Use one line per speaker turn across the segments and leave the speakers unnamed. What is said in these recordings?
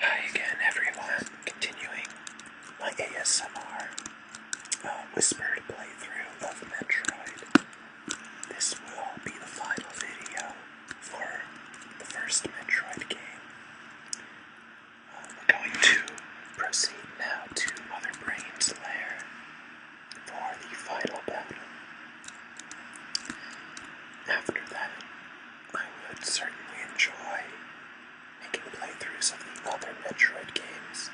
Hi again, everyone. Continuing my ASMR uh, whispered playthrough of Metroid. This will be the final video for the first Metroid game. Uh, we're going to proceed now to Mother Brain's lair for the final battle. After that, I would certainly enjoy making playthroughs of the other Metroid games.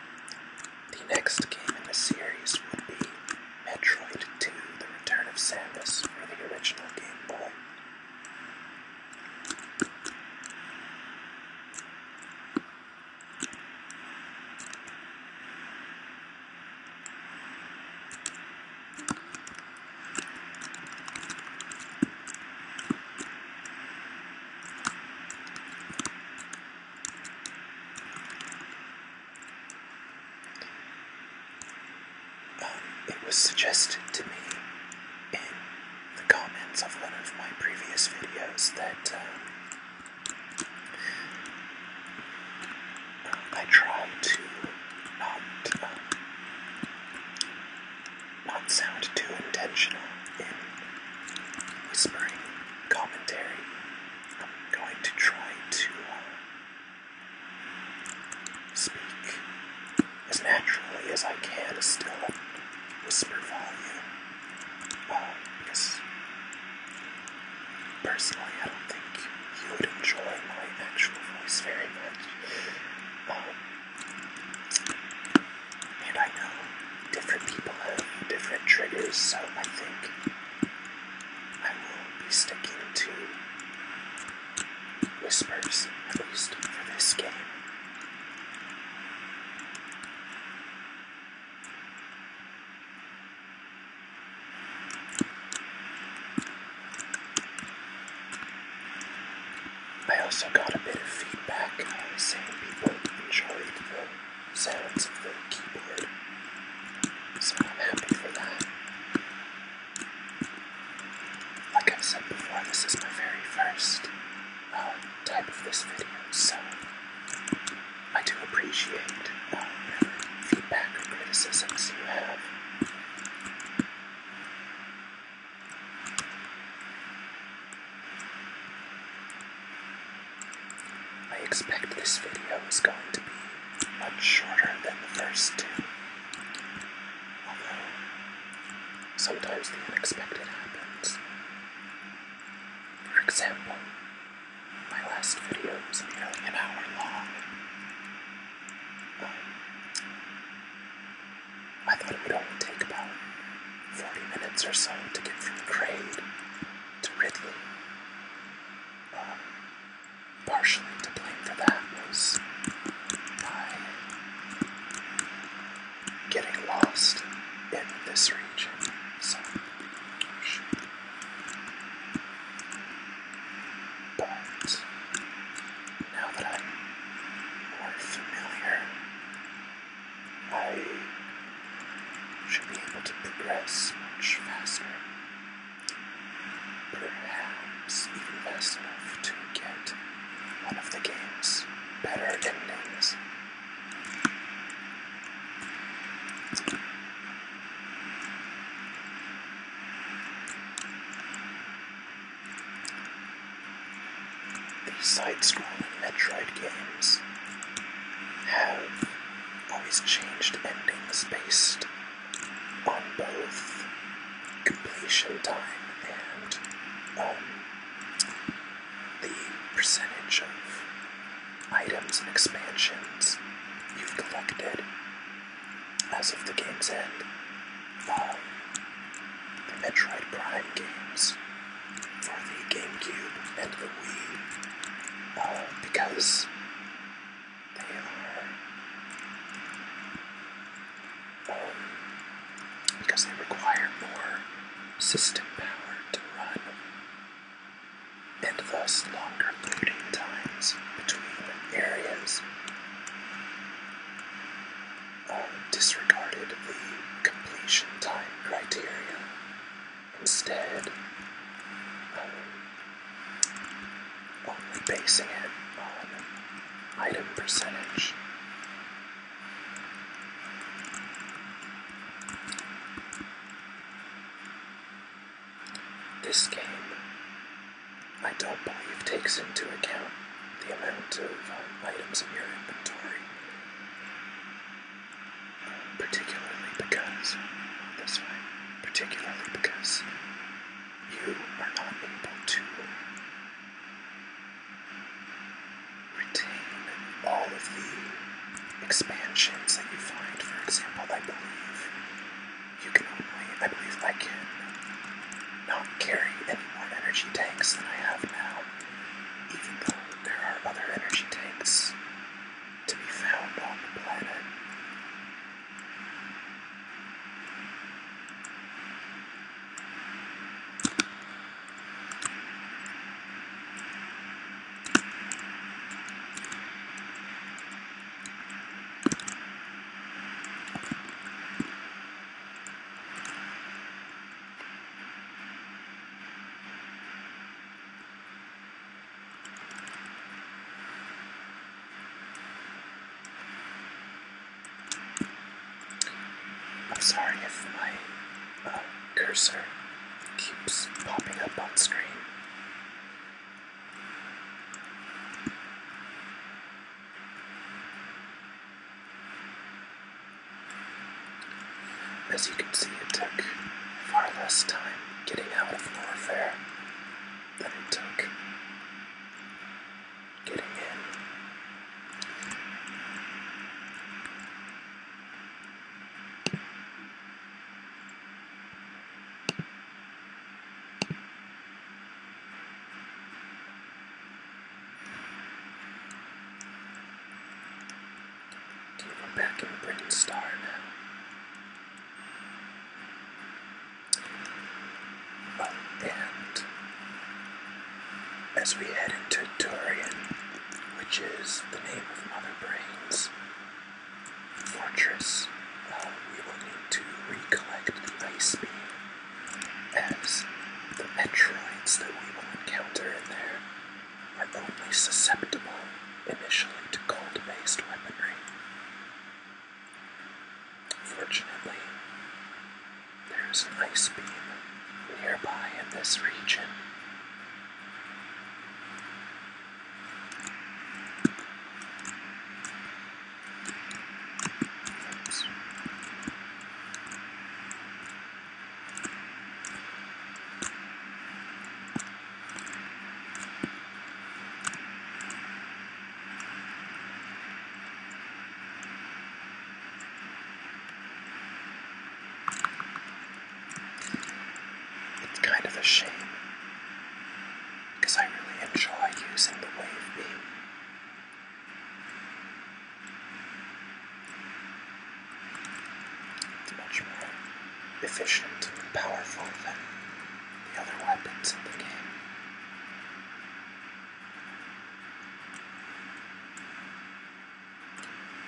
The next game in the series would be Metroid 2 The Return of Samus for the original Game Boy it was suggested to me in the comments of one of my previous videos that um, I try to not um, not sound too intentional in whispering commentary. I'm going to try to uh, speak as naturally as I can, still whisper volume. Well, uh, because personally, I don't think you would enjoy my actual voice very much and I know different people have different triggers, so I think I will be sticking to whispers, at least for this game. I also got a bit of feedback uh, saying people enjoyed the sounds of the keyboard, so I'm happy for that. Like i said before, this is my very first uh, type of this video, so I do appreciate uh, feedback or criticisms you have. I expect this video is going to be much shorter than the first two. Although, sometimes the unexpected happens. For example, my last video was nearly an hour long, I thought it would only take about 40 minutes or so to get from the to Ridley. Uh, partially to blame for that was my getting lost in this region. Oh, but now that I'm more familiar, I should be able to progress much faster. Perhaps even fast enough to get one of the game's better endings. The side-scrolling Metroid games have always changed endings based on both completion time and um, the percentage of items and expansions you've collected as of the game's end, the um, Metroid Prime games for the GameCube and the Wii, uh, because they are um, because they require more system power to run, and thus longer loading times between areas. I disregarded the completion time criteria. Instead, um, only basing it on item percentage. This game I don't believe takes into account the amount of uh, items in your inventory, particularly because this way, particularly because you are not able to retain all of the expansions that you find. For example, I believe you can only, I believe I can not carry any more energy tanks than I have now, even though there are other energy tanks to be found on the planet. I'm sorry if my uh, cursor keeps popping up on screen. As you can see, it took far less time getting out of Lower Fair than it took getting in we're back in Britain and as we head into Durian, which is the name of Mother Brain's fortress, uh, we will need to recollect the Ice Beam as the Metroids that we will encounter in there are only susceptible initially to cold based weaponry. Fortunately, there is an ice beam nearby in this region. It's kind of a shame because I really enjoy using the wave beam much more efficient and powerful than the other weapons in the game.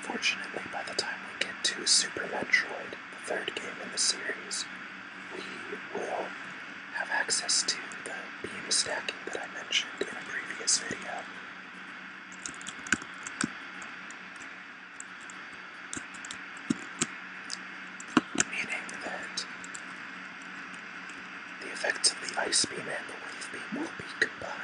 Fortunately, by the time we get to Super Metroid, the third game in the series, we will have access to the beam stacking that I mentioned in a previous video. Meaning that the effects of the ice beam and the wave beam will be combined.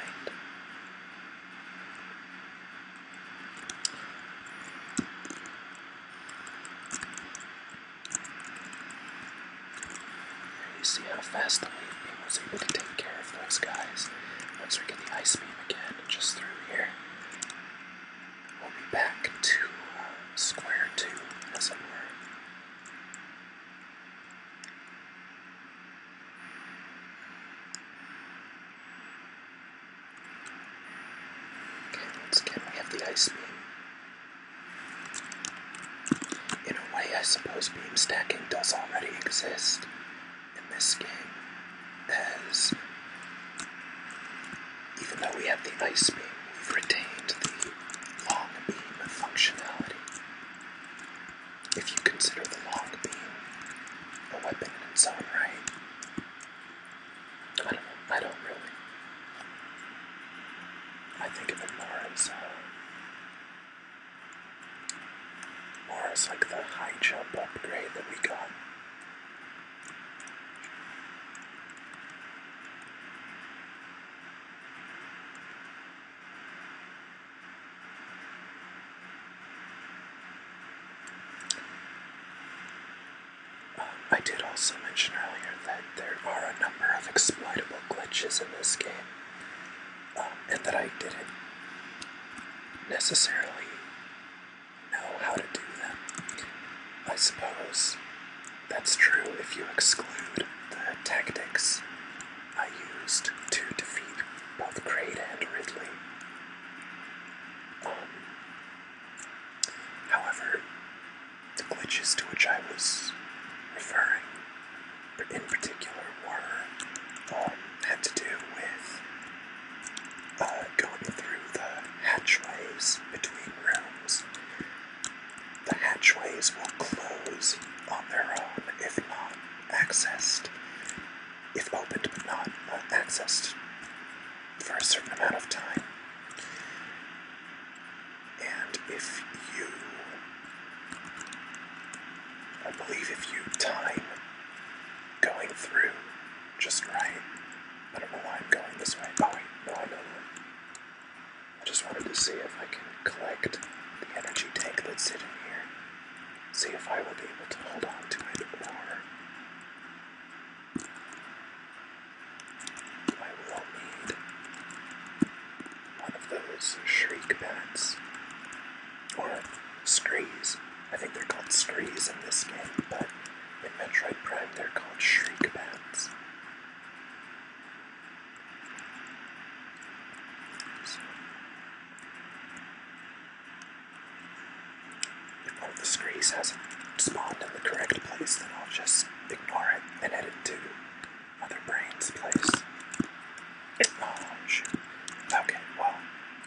You see how fast the wave beam was able to take care of those guys. Once we get the ice beam again, just through here, we'll be back to uh, square two, as it were. Okay, once again we have the ice beam. In a way, I suppose beam stacking does already exist in this game, as even though we have the ice beam, we've retained the long beam functionality. If you consider the long beam a weapon in its own right, I don't I don't really. I think of it more as uh, or it's like the high jump upgrade that we got. I did also mention earlier that there are a number of exploitable glitches in this game and that I didn't necessarily know how to do them. I suppose that's true if you exclude the tactics I used to defeat both Crate and Ridley. Um, however, the glitches to which I was referring in particular were um, had to do with uh, going through the hatchways between rooms. The hatchways will close on their own if not accessed, if opened but not uh, accessed for a certain amount of time. And if you, I believe if you time going through just right, I don't know why I'm going this way. Oh wait, no, I know that. I just wanted to see if I can collect the energy tank that's sitting here, see if I will be able to hold on to it, or I will need one of those shriek bats. Or screes. I think they're called screes in this game, but in Metroid Prime they're called shriek bats. if one of the screes hasn't spawned in the correct place, then I'll just ignore it and edit to Mother Brain's place. Oh, shoot. Okay, well,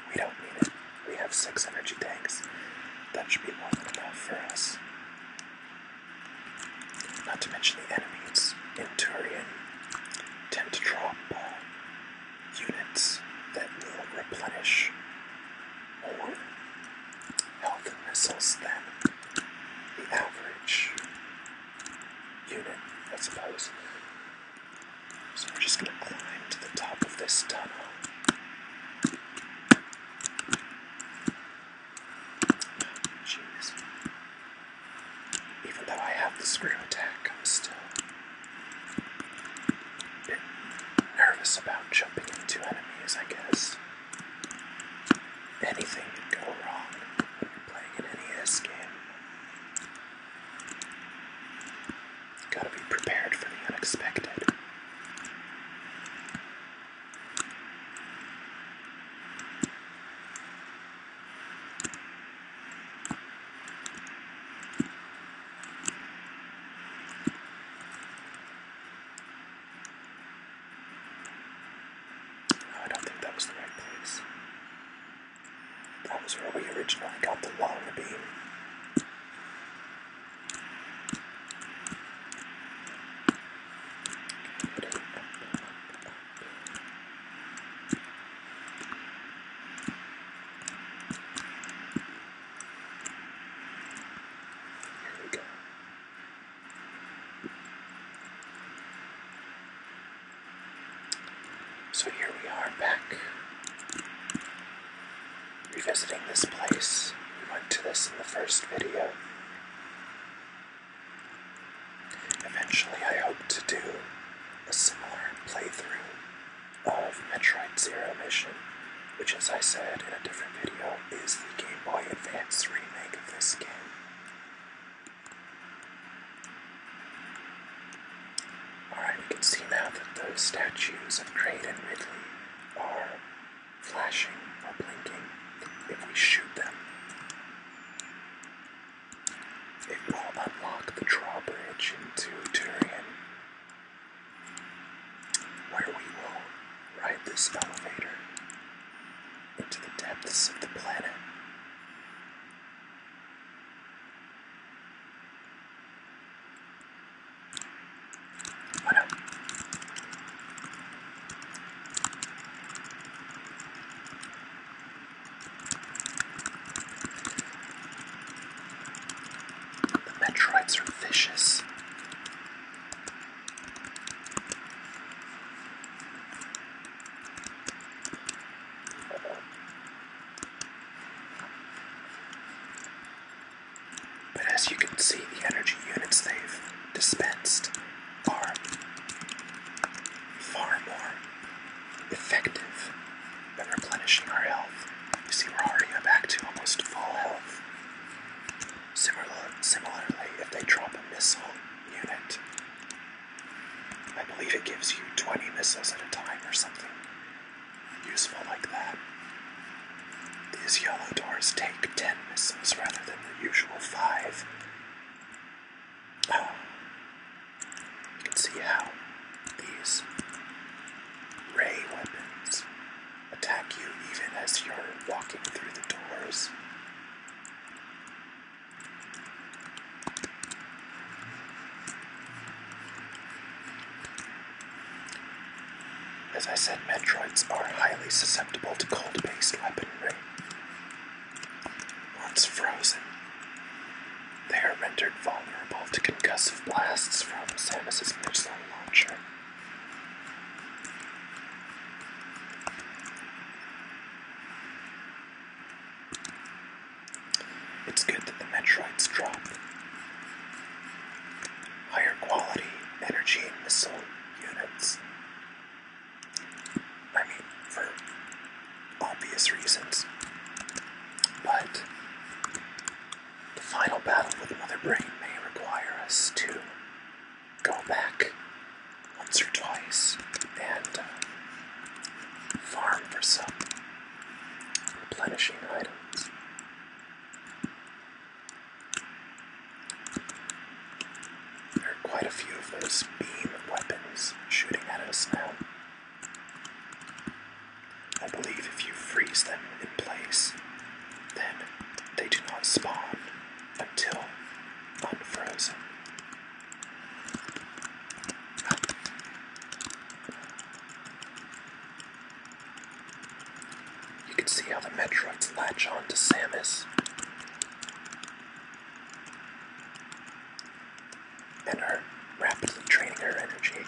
we don't need it. We have six energy tanks. That should be more than enough for us. Not to mention the enemies in Turian tend to drop uh, units that will replenish more health and missiles than the average unit, I suppose. So we're just going to climb to the top of this tunnel. Jeez. Even though I have the screw attack, I'm still a bit nervous about jumping into enemies, I guess. Anything could go wrong when you're playing an NES game. Gotta be prepared for the unexpected. I don't think that was the right place. That was where we originally got the longer beam. Here we go. So here we are back revisiting this place. We went to this in the first video. Eventually, I hope to do a similar playthrough of Metroid Zero Mission, which, as I said in a different video, is the Game Boy Advance remake of this game. Alright, we can see now that those statues of Crane and Ridley are flashing or blinking if we shoot them. It will unlock the drawbridge into Turian, where we will ride this elevator into the depths of the planet the Metroids are vicious. But as you can see, the energy units they've dispensed are far more effective than replenishing our health. You see, we're already back to almost full health. similarly, if they drop a missile unit, I believe it gives you 20 missiles at a time or something useful like that. These yellow doors take 10 missiles rather than the usual 5. Uh, you can see how these ray weapons attack you even as you're walking through the doors. As I said, Metroids are highly susceptible to cold based weaponry. Once frozen, they are rendered vulnerable to concussive blasts from Samus's missile launcher. It's good that the Metroids drop higher quality energy missile units. I mean, for obvious reasons. But the final battle with Mother Brain may require us to go back once or twice and uh, farm for some replenishing items. There are quite a few of those beam weapons shooting at us now. I believe if you freeze them in place, then they do not spawn until unfrozen. You can see how the Metroids latch on to Samus and are rapidly draining her energy.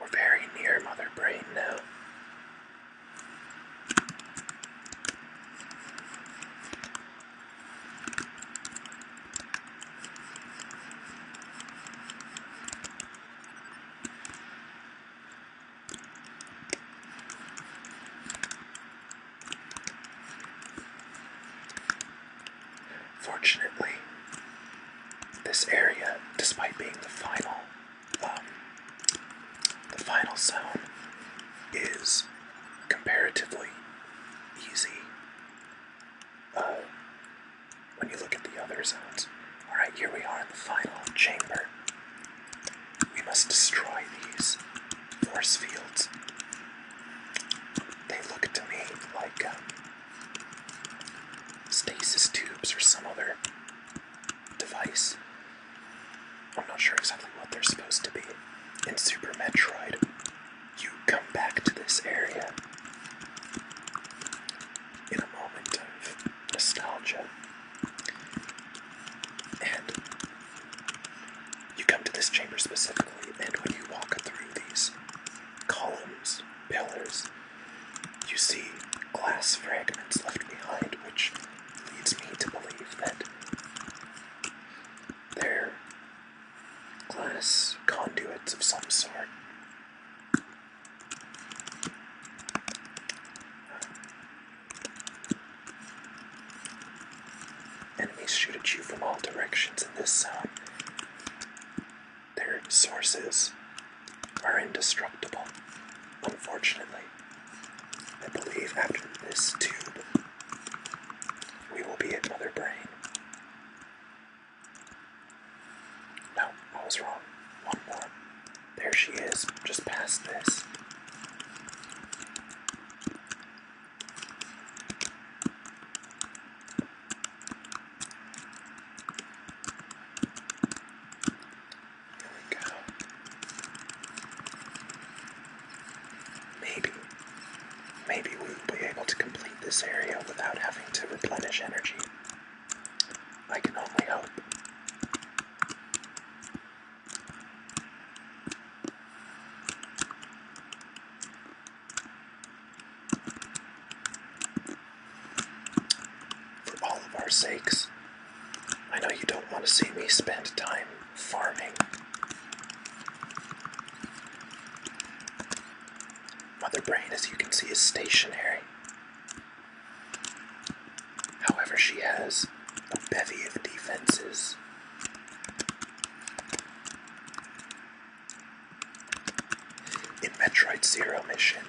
We're very near Mother Brain now. Fortunately, this area, despite being the final, um, the final zone, is comparatively easy. Uh, when you look at the other zones. Alright, here we are in the final chamber. We must destroy these force fields. They look to me like um, stasis tubes or some other device. I'm not sure exactly what they're supposed to be. In Super Metroid, you come back to this area in a moment of nostalgia. And you come to this chamber specifically, and when you walk through these columns, pillars, you see glass fragments left behind, which leads me to believe that they're glass conduits of some sort. Enemies shoot at you from all directions in this zone. Their sources are indestructible, unfortunately. I believe after this tube, we will be at Mother Brain. No, I was wrong. One more. There she is, just past this. Maybe, maybe we will be able to complete this area without having to replenish energy. I can only hope. For all of our sakes, I know you don't want to see me spend time farming. Mother Brain, as you can see, is stationary. However, she has a bevy of defenses. In Metroid Zero Mission,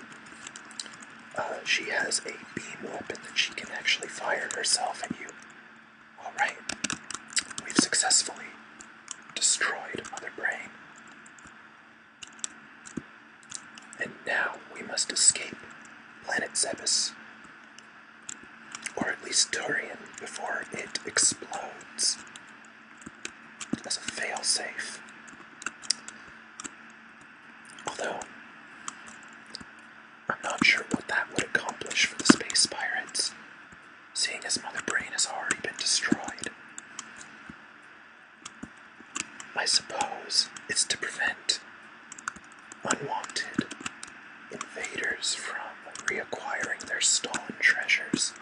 uh, she has a beam weapon that she can actually fire herself at you. Alright, we've successfully destroyed Mother Brain. And now we must escape Planet Zebes. Or at least Turian before it explodes as a failsafe. Although, I'm not sure what that would accomplish for the space pirates, seeing as Mother Brain has already been destroyed. I suppose it's to prevent unwanted invaders from reacquiring their stolen treasures.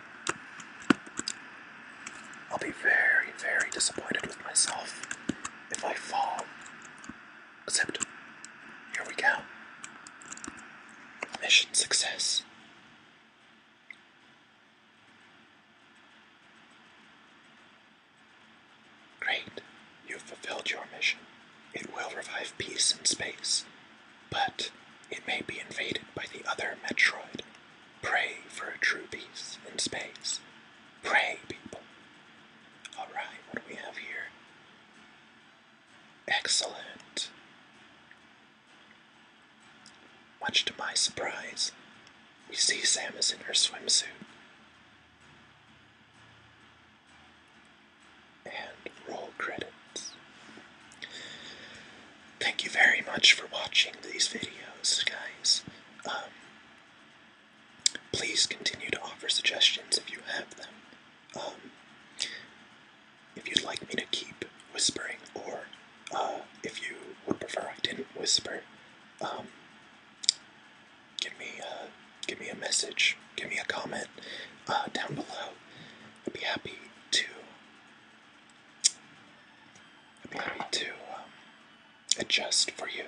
I'll be very, very disappointed with myself if I fall. Except, here we go. Mission success. Great, you've fulfilled your mission. It will revive peace in space, but it may be invaded by the other Metroid. Pray for a true peace in space. Pray, people. Alright, what do we have here? Excellent. Much to my surprise, we see Sam is in her swimsuit. And roll credits thank you very much for watching these videos, guys. Um, please continue to offer suggestions if you have them. Um, if you'd like me to keep whispering, or uh, if you would prefer I didn't whisper, um, give me uh, give me a message, give me a comment uh, down below. I'd be happy to I'm happy to um, adjust for you.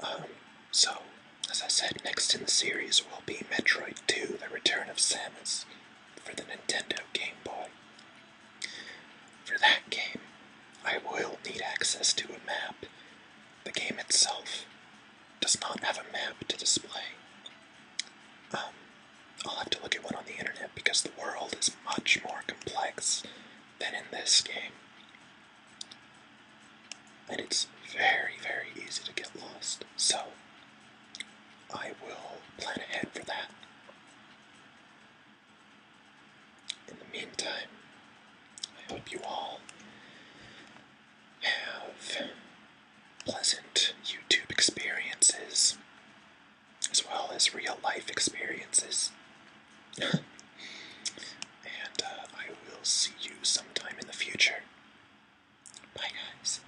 Um, so, as I said, next in the series will be Metroid 2 The Return of Samus for the Nintendo Game Boy. For that game, I will need access to a map. The game itself does not have a map to display. Um, I'll have to look at one on the internet because the world is much more complex than in this game. And it's very, very easy to get lost. So, I will plan ahead for that. In the meantime, I hope you all have pleasant YouTube experiences as well as real life experiences. and uh, I will see you sometime in the future. Bye, guys.